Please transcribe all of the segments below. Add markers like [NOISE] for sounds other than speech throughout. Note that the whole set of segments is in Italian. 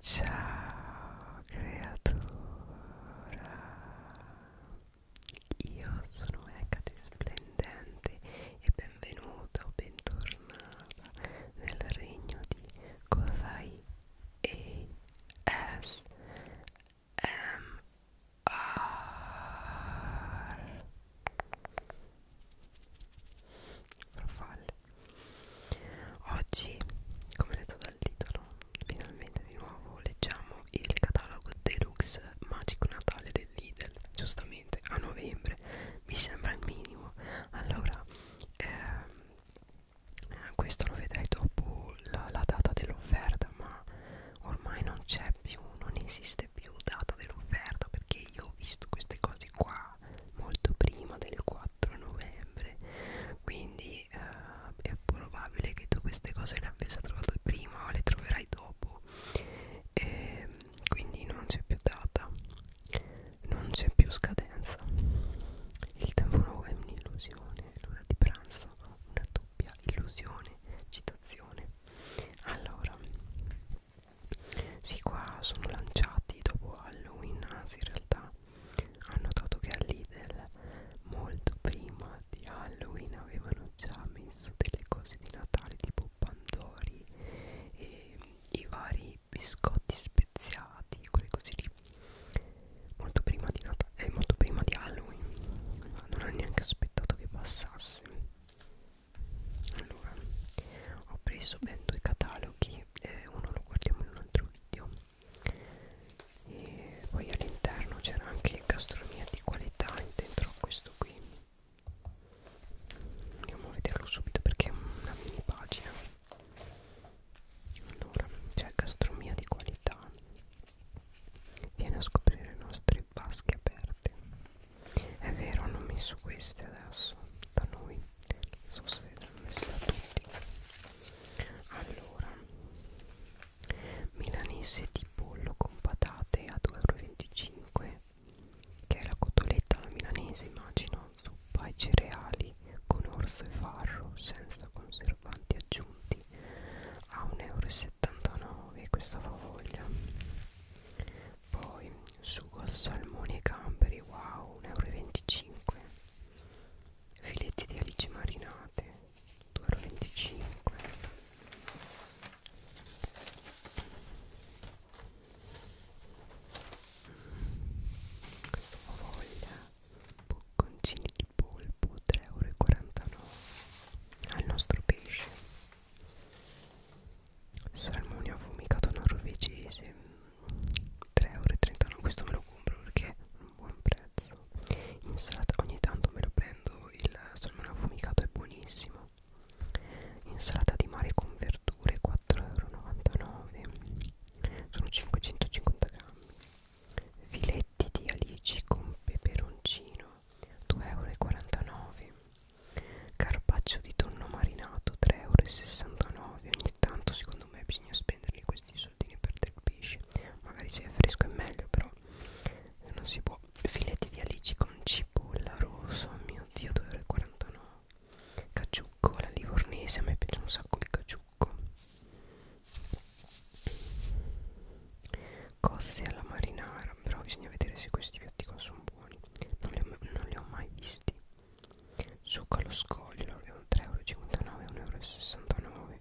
Ciao creatura, io sono Ecate Splendente e benvenuta o bentornata nel regno di Kozai ASMR Farfalle Oggi, come detto dal titolo, finalmente di nuovo leggiamo il catalogo deluxe magico natale del Lidl, giustamente a novembre, mi sembra il minimo. Allora, ehm, questo lo vedrai dopo la, la data dell'offerta, ma ormai non c'è più, non esiste più data dell'offerta perché io ho visto queste cose qua molto prima del 4 4 novembre quindi eh, è probabile che tu queste cose le abbia trovate prima o le troverai dopo e ehm, quindi non c'è più data non c'è più scadenza il tempo è un'illusione l'ora di pranzo una doppia illusione citazione allora sì, qua sono lanciati dopo Halloween, anzi in realtà ho notato che a Lidl molto prima di Halloween avevano già messo delle cose di Natale tipo pandori e i vari biscotti speziati, quelle cose lì molto prima di Natale, eh, molto prima di Halloween non ho neanche aspettato che passasse allora ho preso ben due cataloghi perché eh, uno lo guardiamo in un altro video e poi all'interno c'era anche gastronomia di qualità dentro questo qui andiamo a vederlo subito perché è una mini pagina allora c'è cioè gastronomia di qualità viene a scoprire le nostre vasche aperte è vero hanno messo queste adesso da noi non so se l'hanno messo da tutti allora milanese di pollo con patate a 2,25 euro che è la cotoletta alla milanese immagino zuppa e cereali con orzo e farro senza conservanti aggiunti a 1,79 euro questa favoglia poi sugo al salmone e gamberi wow 1,25 euro filetti di alici marinate 2,25 euro questo ho voglia bocconcini di polpo 3,49 euro al nostro pesce salmone affumicato norvegese 3,39€ questo me lo compro perché è un buon prezzo insalata ogni tanto me lo prendo il salmone affumicato è buonissimo insalata di mare con verdure 4,99€ sono 550 grammi filetti di alici con peperoncino 2,49€ Carpaccio di tonno marinato 3,69 euro. Ogni tanto, secondo me, bisogna spenderli questi soldini per del pesce. Magari se è fresco è meglio, però non si può. Filetti di alici con cipolla rosso. Oh mio dio, 2,49 euro. Caciucco, la livornese. A me piace un sacco di caciucco. Coste alla marinara. Però bisogna vedere se questi piatti qua sono buoni. Non li ho, non li ho mai visti. Succa lo scoglio è un 3,59 euro, 1,69 euro.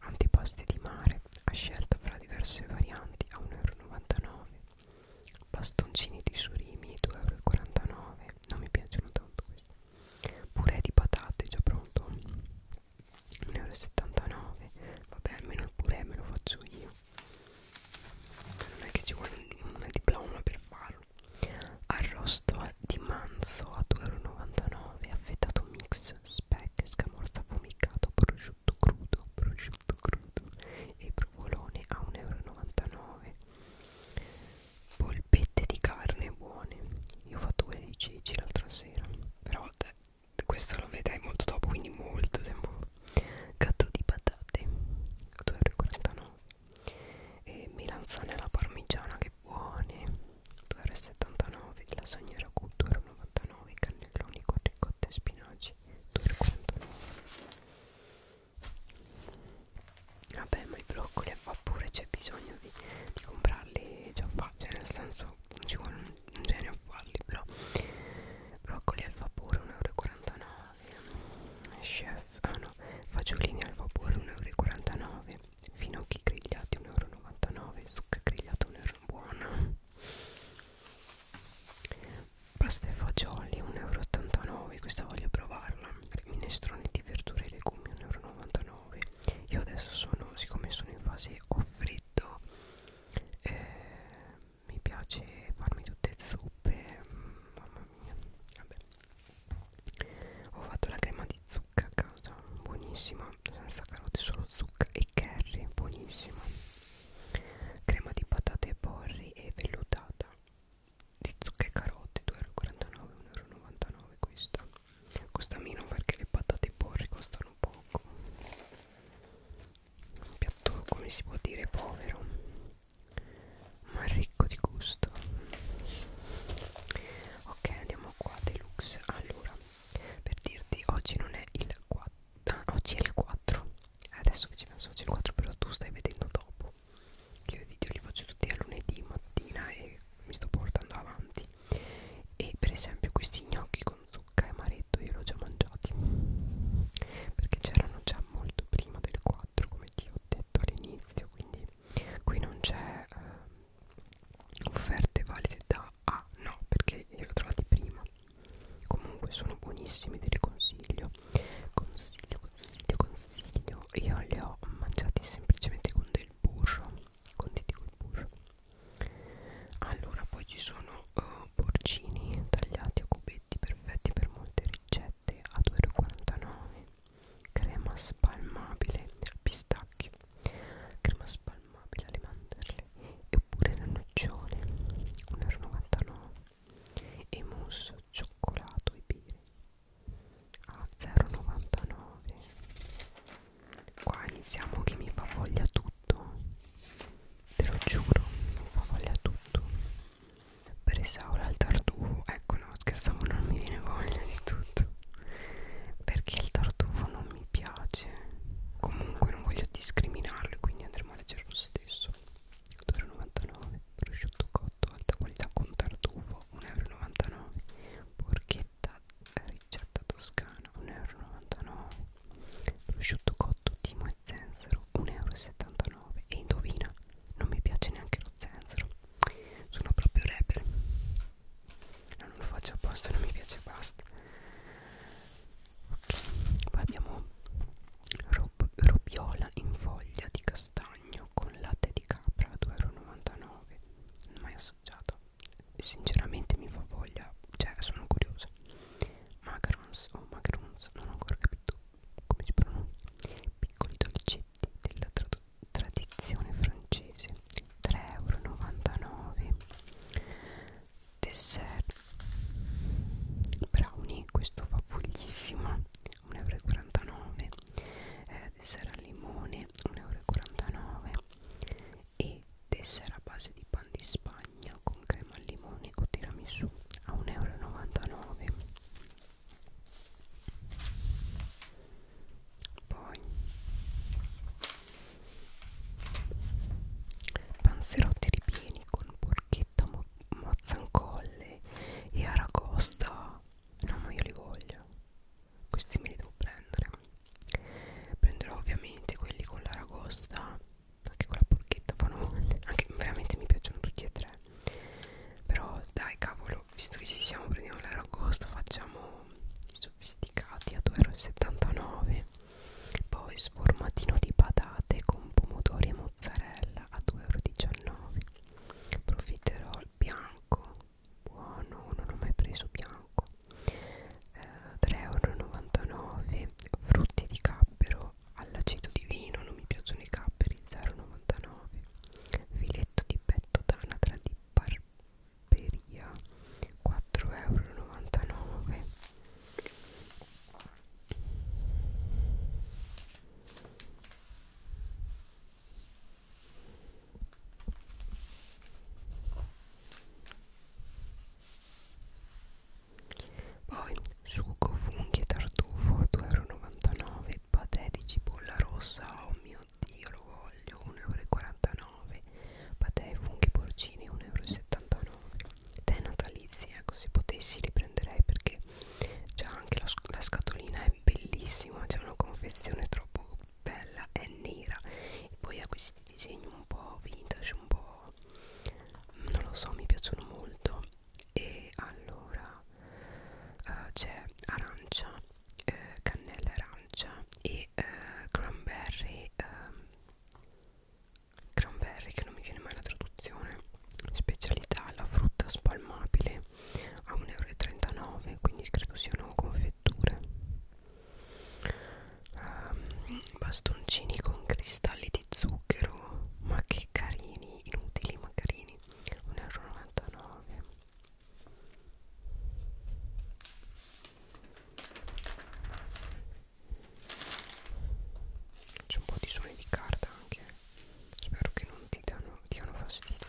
Antipasti di mare ha scelto fra diverse varianti a 1,99 euro. Bastoncini di surimi 2,49 euro. Non mi piacciono tanto questi purè di patate già pronto 1,79 vabbè almeno il purè me lo faccio io non è che ci vuole una diploma per farlo arrosto di manzo a 2,99 affettato mix speck scamorza fumicato prosciutto crudo prosciutto crudo e provolone a 1,99 polpette di carne buone io ho fatto quelle di ceci l'altra sera però eh, questo lo vedrai molto dopo quindi molto tempo gatto di patate 2,49 e melanzane alla parmigiana che buone 2,79 lasagne ragù 2,99 cannelloni con ricotta e spinaci 2,49 vabbè ma i broccoli a vapore c'è bisogno di, di comprarli già fatti cioè nel senso non ci vuole un, un genio a farli però broccoli al vapore 1,49 euro chef ah no fagiolini al vapore 1,49 euro finocchi grigliati 1,99 euro zucca grigliata 1 euro buona pasta e fagioli 1,89 euro questa voglio provarla minestrone di verdure e legumi 1,99 euro io adesso sono siccome sono in fase offritto eh, mi piace farmi tutte zuppe mm, mamma mia vabbè ho fatto la crema di zucca a casa buonissima senza carote solo zucca e curry buonissima crema di patate e porri e vellutata di zucche e carote 2,49 1,99 questa costa meno perché le patate e porri costano poco un piatto come si può dire povero ma ricco di gusto ok andiamo qua deluxe allora per dirti oggi non è il 4 ah, oggi è il 4 adesso che ci penso oggi è il 4 però tu stai vedendo dopo io i video li faccio tutti a lunedì mattina e mi sto portando avanti e per esempio questi gnocchi con zucca e amaretto io li ho già mangiati perché c'erano già molto prima del 4 come ti ho detto all'inizio quindi qui non c'è eh, offerte valide da ah no perché li ho trovati prima comunque sono buonissimi te li consiglio consiglio consiglio consiglio consiglio io le ho mangiati semplicemente con del burro conditi col burro allora poi ci sono uh, porcini tagliati a cubetti perfetti per molte ricette a 2,49 crema spalmabile al pistacchio crema spalmabile alle mandorle oppure la nocciole 1,99 e mousse cioccolato e birra Ah, a 0,99 qua iniziamo che mi fa voglia tutto te lo giuro mi fa voglia tutto per Isaura il tartufo ecco no scherzavo non mi viene voglia di tutto perché il tartufo non mi piace comunque non voglio discriminarlo quindi andremo a leggere lo stesso 2,99 prosciutto 1,98 alta qualità con tartufo 1,99 porchetta eh, ricetta toscana 1,99 prosciutto cotto timo e zenzero 1,79 e indovina non mi piace neanche lo zenzero sono proprio rebel no, non lo faccio apposta non mi piace basta ok poi abbiamo rob, robiola in foglia di castagno bagno con latte di capra a 2,99 euro non mai assaggiato sinceramente mi fa voglia cioè sono curiosa macarons o oh, macarons non ho ancora capito come si pronuncia piccoli dolcetti della tra tradizione francese 3,99 euro dessert brownie questo fa foglissimo 1,49 euro eh, tessera al limone 1,49 euro e tessera a base di pan di spagna con crema al limone o tiramisù a 1,99 euro poi panzerotti ripieni con porchetta Mazzancolle e Aracosta no ma io li voglio questi me li devo prendere prenderò ovviamente quelli con l'aragosta anche con la porchetta fanno anche veramente mi piacciono tutti e tre però dai cavolo visto che ci siamo prendiamo l'aragosta facciamo i sofisticati a 2,79€ poi sformatino di patate con pomodori e mozzarella a 2,19€ 19 profiterol bianco buono non ho mai preso bianco eh, 3,99€ frutti di cappero all'aceto di vino non mi piacciono i capperi 0,99 filetto di petto d'anatra di barberia 4,99 euro poi sugo, funghi e tartufo 2,99€, patè di cipolla rossa, oh mio dio lo voglio, 1,49€, patè e funghi porcini 1,79€ tè natalizi ecco se potessi li prenderei perché già anche la, la scatolina è bellissima c'è una confezione troppo bella è nera e poi ha questi disegni un po' vintage un po' non lo so mi piacciono molto e allora uh, c'è arancia eh, cannella arancia e eh, cranberry eh, cranberry che non mi viene mai la traduzione specialità la frutta spalmabile a 1,39 euro quindi credo siano confetture um, bastoncini con cristalli di zucchero ma che carini inutili ma carini 1,99 euro c'è un po' di suoni di carta anche spero che non ti danno, diano fastidio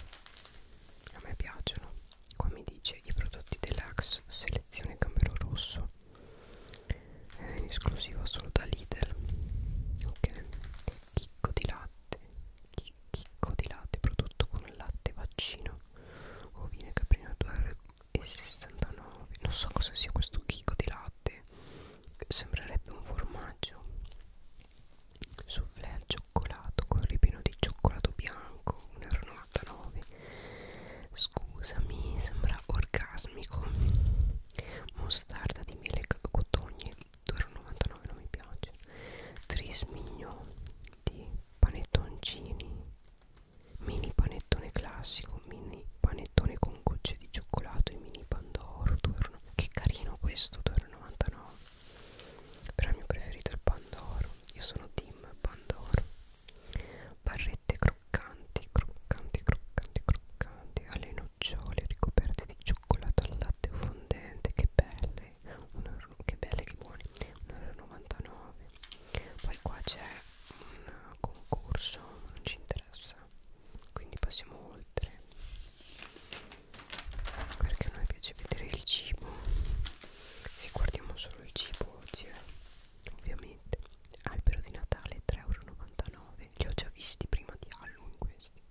a me piacciono qua mi dice i prodotti deluxe selezione gambero rosso eh, in esclusiva solo da Lidl ok chicco di latte Chi chicco di latte prodotto con latte vaccino ovine caprino 2,69 non so cosa sia questo chicco di latte sembrerebbe un formaggio soufflé al cioccolato con ripino di cioccolato bianco 1,99 scusami sembra orgasmico mostarda di miele cotogne 2,99 non mi piace trismigno di panettoncini mini panettone classico un mini panettone con gocce di cioccolato e mini pandoro euro, che carino questo 2,99 euro però il mio preferito è il pandoro io sono team pandoro barrette croccanti croccanti croccanti croccanti alle nocciole ricoperte di cioccolato al latte fondente che belle euro, che belle che buone 1,99 euro poi qua c'è un concorso non ci interessa quindi passiamo oltre perché a noi piace vedere il cibo se guardiamo solo il cibo oggi eh, ovviamente albero di natale 3,99€ li ho già visti prima di Halloween questi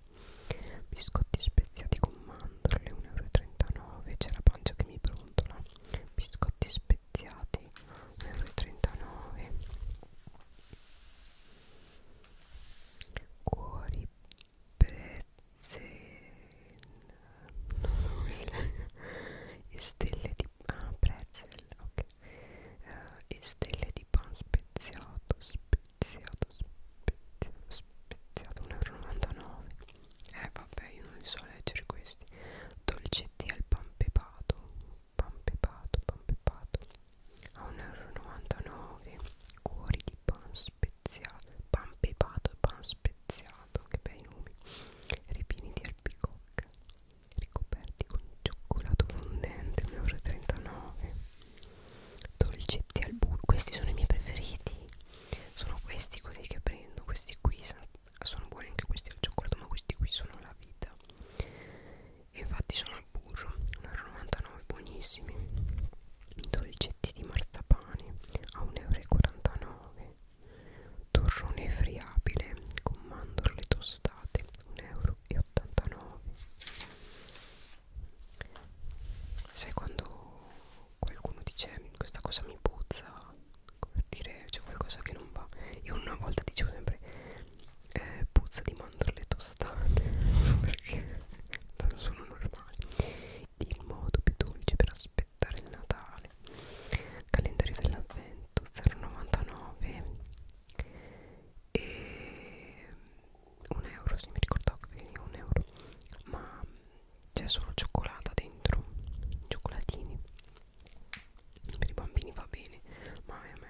biscotti speziati con mandorle 1,39€ c'è la pancia che mi brontola biscotti speziati speziati 1,39 cuori prezze non so come si legge e stelle di ah pretzel ok uh, e stelle di pan speziato speziato speziato speziato 1,99 euro eh vabbè io non li so leggere questi dolcetti al pan pepato Pampepato, Pampepato a 1,99€ cuori di pan speziato Pampepato, pan speziato che bei nomi ripieni di albicocca ricoperti con cioccolato fondente 1,39€ dolcetti al burro questi sono i miei preferiti sono questi quelli che prendo questi qui sono sono buoni anche questi al cioccolato ma questi qui sono la vita e infatti sono al burro 1,99€ buonissimi dolcetti di marzapane a 1,49€ torrone friabile con mandorle tostate 1,89€ sai quando qualcuno dice questa cosa mi puzza come dire c'è qualcosa che non va io una volta dicevo sempre eh, puzza di mandorle tostate [LAUGHS] perché non sono normali il modo più dolce per aspettare il Natale calendario dell'avvento 0,99 e un euro se mi ricordavo che veniva un euro ma c'è solo cioccolata dentro cioccolatini per i bambini va bene ma a me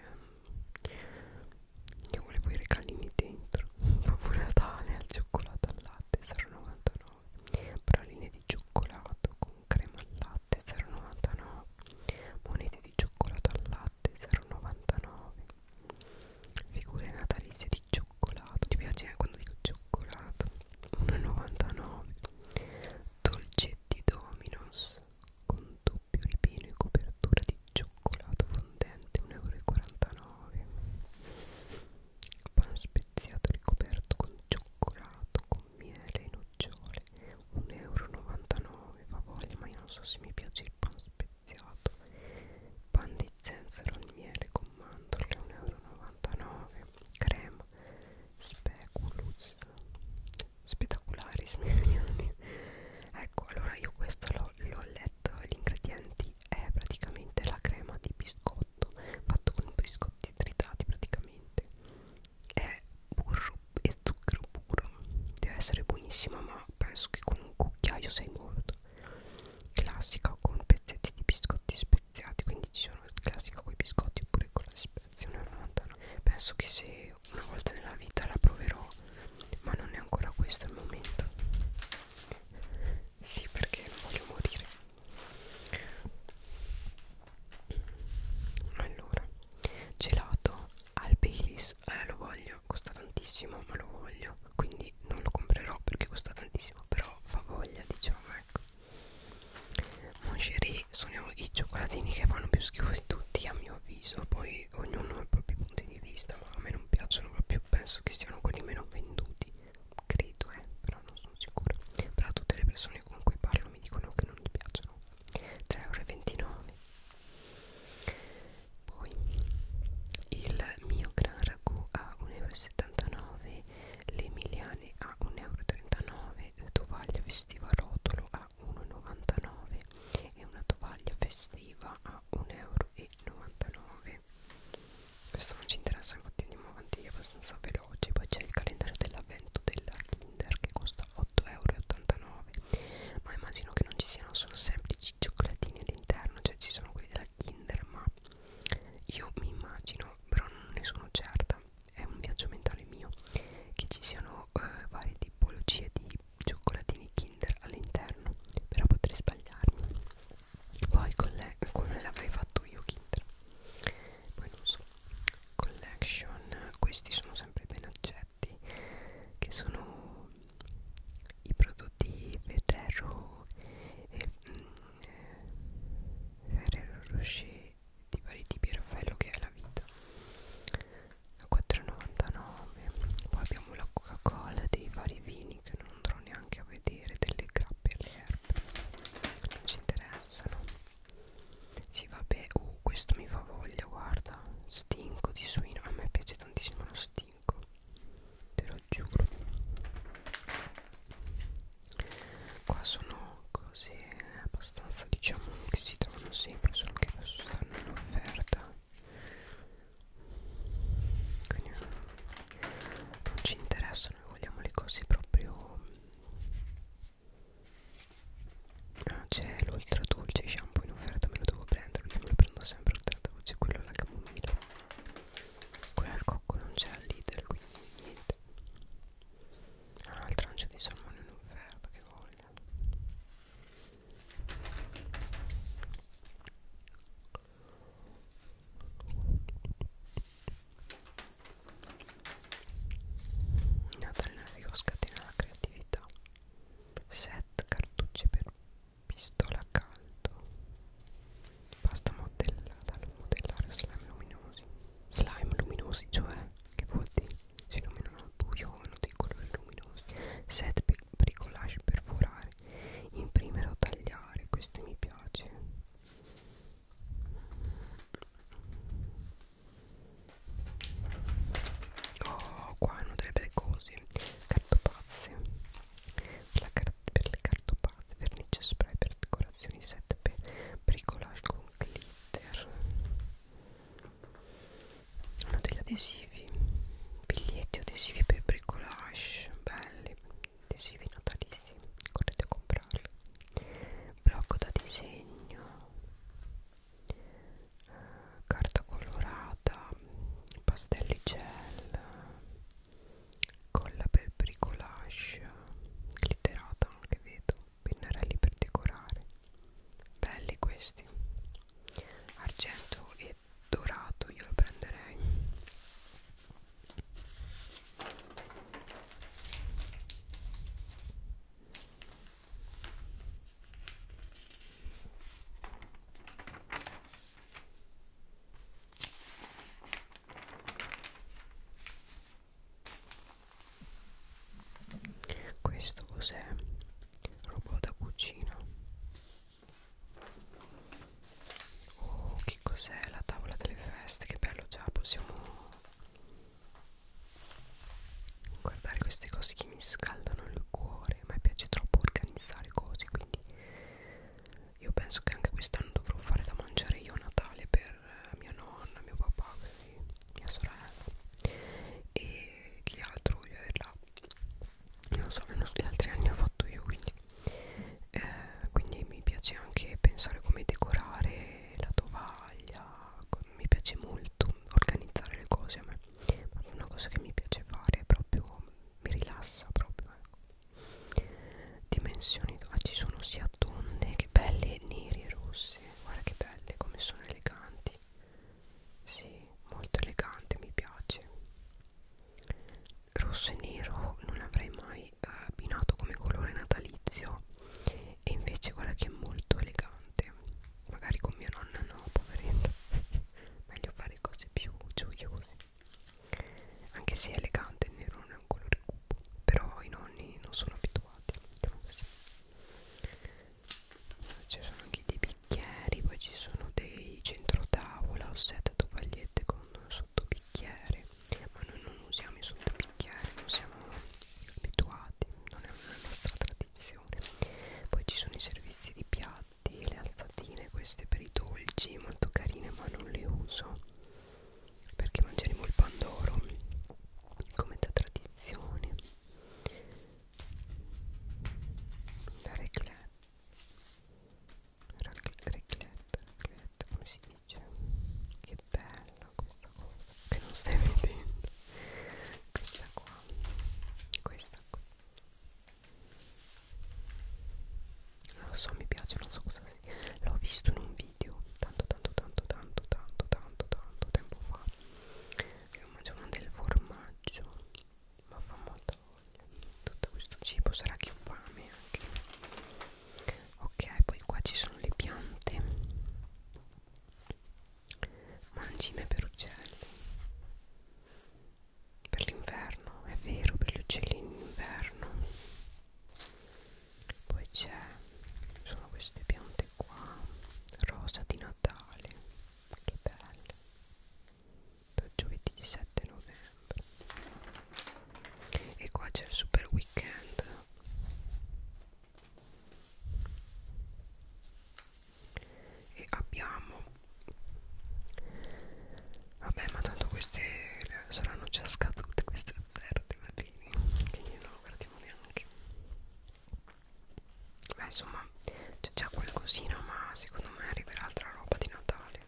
che volevo i regalini dentro [LAUGHS] proprio Natale al cioccolato al latte 0,99 praline di cioccolato con crema al latte 0,99 monete di cioccolato al latte 0,99 figure natalizie di cioccolato ti piace eh, quando dico cioccolato 1,99 dolce Spaghetti Dominos con doppio ripieno e copertura di cioccolato fondente 1,49 euro. Pan speziato ricoperto con cioccolato, con miele e nocciole 1,99 euro. Va voglia, ma io non so se mi piace il pan speziato. Pan di zenzero al miele con mandorle 1,99 euro. Crema chiama Speculus Speculari Ecco allora io questo l'ho letto Gli ingredienti è praticamente la crema di biscotto Fatto con biscotti tritati praticamente È burro e zucchero puro Deve essere buonissima ma penso che con un cucchiaio sei morto Classica con pezzetti di biscotti speculari speziati quindi ci sono il classico con i biscotti oppure con la spezia 1,99 penso che se una volta nella vita la proverò ma non è ancora questo il momento sì perché non voglio morire allora gelato al Baileys eh lo voglio costa tantissimo ma lo voglio quindi non lo comprerò perché costa tantissimo però fa voglia diciamo ecco Mon chéri sono i cioccolatini che fanno più schifo di tutti a mio avviso Poi ognuno ha i propri punti di vista Ma a me non piacciono proprio Penso che siano quelli meno venduti Credo eh, però non sono sicura Però tutte le persone con cui parlo mi dicono che non gli piacciono 3,29 euro Poi il mio gran ragù a 1,79 euro Le emiliane a 1,39 euro comprare tovaglia festiva a rotolo a 1,99 e una tovaglia festiva a 1,99 euro questo non ci interessa infatti andiamo avanti abbastanza veloci poi c'è il calendario dell'avvento della Kinder che costa 8,89 euro ma immagino che non ci siano solo semplici cioccolatini all'interno cioè ci sono quelli della Kinder ma io mi immagino però non ne sono certa è un viaggio mentale mio che ci siano eh, varie tipologie di cioccolatini Kinder all'interno, però potrei sbagliarmi. Poi come l'avrei fatto io Kinder? Poi non so. Collection, questi sono sempre ben accetti, che sono i prodotti Ferrero e mm, eh, Ferrero Rocher di vari tipi Raffaello che è la vita 4,99 poi abbiamo la coca cola dei vari vini che non andrò neanche a vedere delle grappe alle erbe non ci interessano sì vabbè uh, questo mi fa voglia guarda stinco di suino a me piace tantissimo lo stinco te lo giuro qua sono cose abbastanza diciamo che si trovano sempre solo che adesso stanno in offerta quindi non ci interessa noi vogliamo le cose proprio ah, c'è l'ultra dolce shampoo in offerta me lo devo prendere io me lo prendo sempre l'ultra dolce quello alla camomilla quello al cocco non c'è al leader quindi niente niente ah il trancio di salmone in offerta che voglia Natale Navio scatena la creatività set cartucce per pistola caldo Pasta modellata al modellare slime luminosi. Slime luminosi, cioè, che vuol dire? Si illuminano al buio o hanno dei colori luminosi. Set pe bricolage perforare. Imprimere o tagliare. Questo mi piace. Oh, qua hanno delle belle cose. Cartopazze. La cartopazza per, per le cartopate, vernice spray per decorazioni, set per bricolage con glitter hanno degli adesivi biglietti adesivi per bricolage belli adesivi natalizi correte a comprarli blocco da disegno eh, carta colorata pastelli gel colla per bricolage glitterata anche vedo pennarelli per decorare belli questi argento e dorato io lo prenderei questo cos'è? robot da cucina oh che cos'è la tavola delle feste che bello già possiamo guardare queste cose che mi scaldano il cuore a me piace troppo organizzare cose quindi io penso che anche quest'anno dovrò fare da mangiare io a Natale per eh, mia nonna, mio papà, mia sorella e chi altro voglio averla. Non so, gli altri anni ho fatto io quindi. Eh, quindi mi piace anche pensare come decorare la tovaglia, mi piace molto organizzare le cose a me. Una cosa che mi piace fare è proprio mi rilassa proprio ecco dimensioni ah, ci sono sia tonne che belle neri e rosse guarda che belle come sono eleganti sì molto elegante mi piace rosso e nero non avrei mai eh, abbinato come colore natalizio e invece guarda che è molto elegante magari con mia nonna no poveretta [LAUGHS] meglio fare cose più gioiose anche se è elegante il nero non è un colore cupo però i nonni non sono abituati diciamo così. ci sono anche dei bicchieri poi ci sono dei centrotavola o set tovagliette con sottobicchiere ma noi non usiamo i sottobicchieri non siamo abituati non è una nostra tradizione poi ci sono i servizi di piatto infatti le alzatine queste per i dolci molto carine ma non le uso perché mangeremo il pandoro come da tradizione la reclette reclette reclette come si dice che bella questa cosa che non stai vedendo questa qua questa qui non lo so mi piace non so cosa sia l'ho visto in un video tanto tanto tanto tanto tanto tanto tanto tempo fa e ho mangiato del formaggio ma fa molta voglia tutto questo cibo sarà che ho fame anche ok poi qua ci sono le piante mangime per uccelli per l'inverno, è vero, per gli uccellini in inverno. Poi c'è, sono queste piante qua, rosa di Natale, che belle, da giovedì 7 novembre. E qua c'è il super weekend. E abbiamo Vabbè, ma tanto queste saranno già scadute queste offerte, va bene, quindi non lo guardiamo neanche. Beh, insomma, c'è già qualcosina, ma secondo me arriverà altra roba di Natale.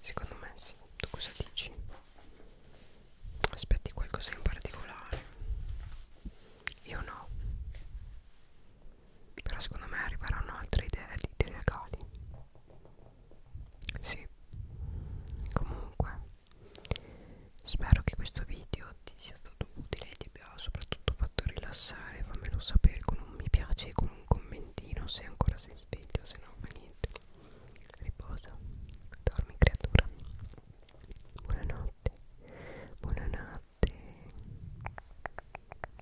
Secondo me sì. Tu cosa dici? Aspetti qualcosa in particolare? Io no però secondo me arriveranno altre idee di, di regali sì comunque spero che questo video ti sia stato utile e ti abbia soprattutto fatto rilassare fammelo sapere con un mi piace e con un commentino se ancora sei sveglia se no ma niente riposa dormi creatura buonanotte buonanotte